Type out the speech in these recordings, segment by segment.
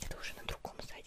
Это уже на другом сайте.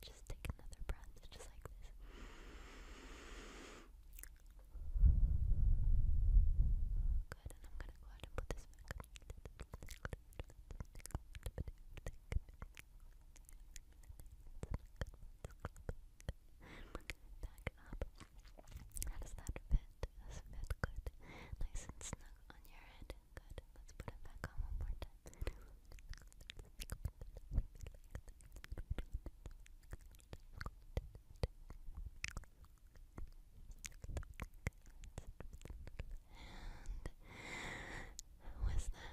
Just take another breath, just like this. Good, and I'm gonna go ahead and put this back. Good and bring back up. How does that fit? Does it fit good? Nice and snug on your head. Good. Let's put it back on one more time. And was that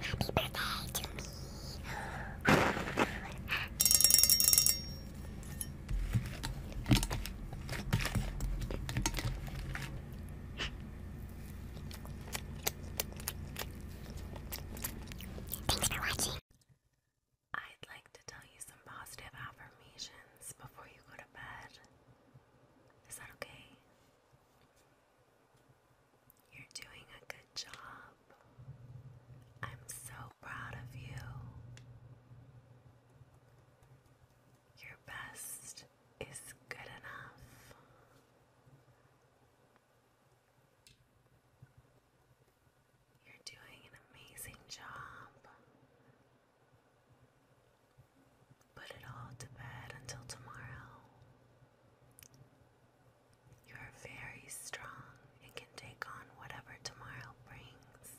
Happy birthday to me. Thanks for watching. I'd like to tell you some positive affirmations before you go to bed. Is that okay? You're doing a good job. I'm so proud of you. Your best is good enough. You're doing an amazing job. Put it all to bed until tomorrow. You are very strong and can take on whatever tomorrow brings.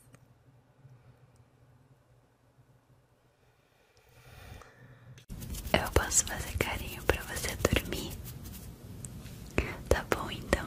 Eu posso fazer carinho para você dormir. Tá bom então.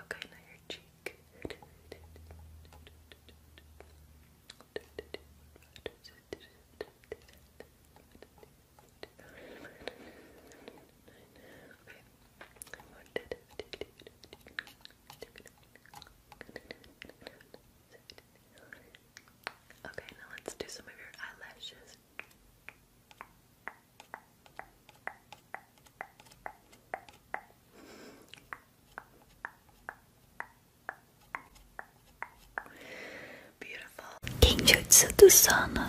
Okay, now your cheek. Okay, now let's do some of your eyelashes. Beautiful. Kinjutsu Dusana.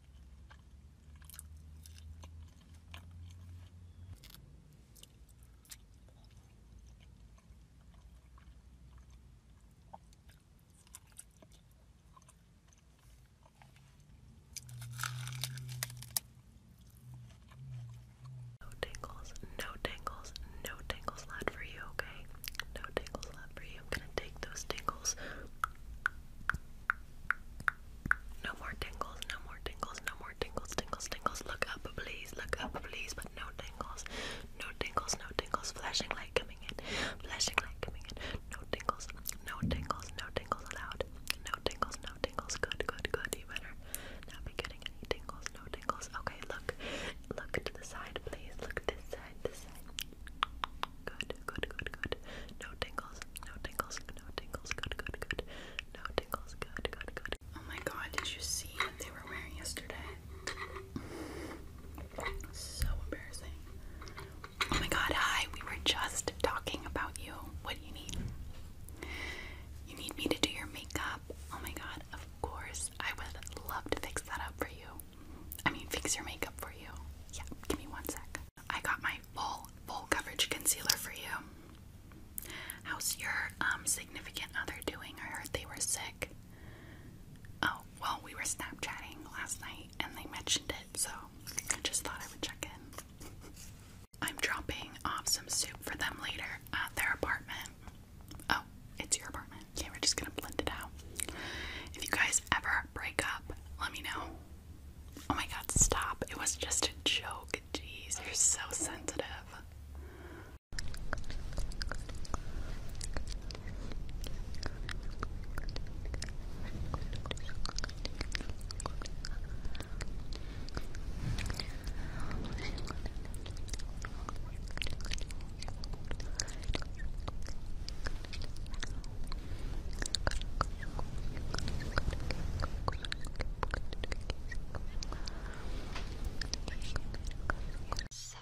No tingles, no tingles, no tingles left for you, okay? No tingles left for you. I'm gonna take those tingles no more tingles, no more tingles, no more tingles, tingles, tingles. Look up, please, look up, please, but no tingles. No tingles, no tingles. Flashing light coming in, flashing light coming in. No tingles, no tingles, no tingles allowed. No tingles, no tingles. Good, good, good. You better not be getting any tingles, no tingles. Okay, look, look to the side, please. Look this side, this side. Good, good, good, good. No tingles, no tingles. No tingles. Good, good, good. No tingles. Good, good, good. Oh my god, did you see what they were wearing yesterday? So embarrassing. Oh my god, hi. We were just talking about you. What do you need? You need me to do your makeup? Oh my god, of course. I would love to fix that up for you. I mean, fix your makeup for you. Yeah, give me one sec. I got my full full coverage concealer for you. How's your um significant other doing? I heard they were sick. Oh, well, we were Snapchatting last night and they mentioned it, so I just thought I would check in. I'm dropping off some soup for them later at their apartment. Oh, it's your apartment. Yeah, we're just gonna blend it out. If you guys ever break up, let me know. Oh my god, stop. It was just a joke. Jeez, you're so sensitive. So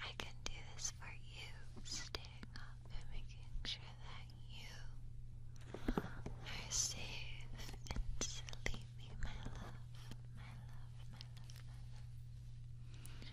I can do this for you, standing up and making sure that you are safe and sleepy, my love, my love, my love, love.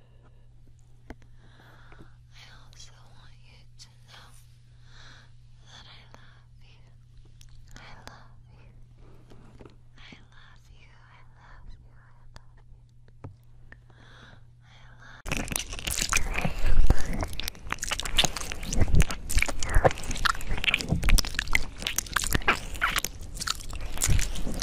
I also want you to know that I love you. I love you. I love you. I love you. I love you. I love you.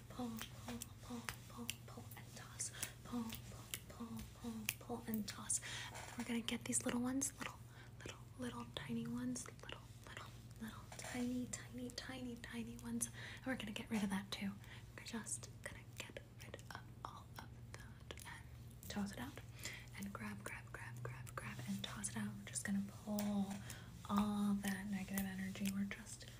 pull, pull, pull, pull, pull, and toss. Pull, pull, pull, pull, pull, and toss. we're gonna get these little ones, little, little, little tiny ones, little, little, little tiny, tiny, tiny, tiny ones. And we're gonna get rid of that too. We're just gonna get rid of all of that and toss it out. And grab, grab, grab, grab, grab, and toss it out. We're just gonna pull all that negative energy. We're just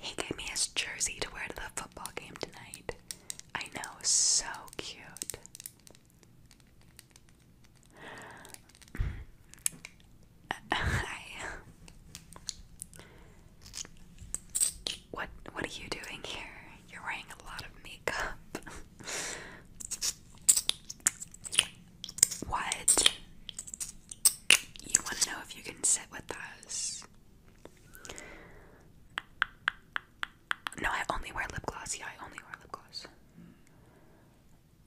he gave me his jersey to wear to the football game tonight. I know, so cute. What what are you doing here? You're wearing a lot of makeup. What? You want to know if you can sit with us? No, I only wear lip gloss. Yeah, I only wear lip gloss.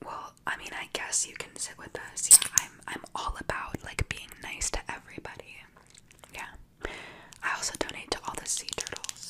Well, I mean, I guess you can sit with us. Yeah, I'm I'm all about like being nice to everybody. Yeah. I also donate to all the sea turtles.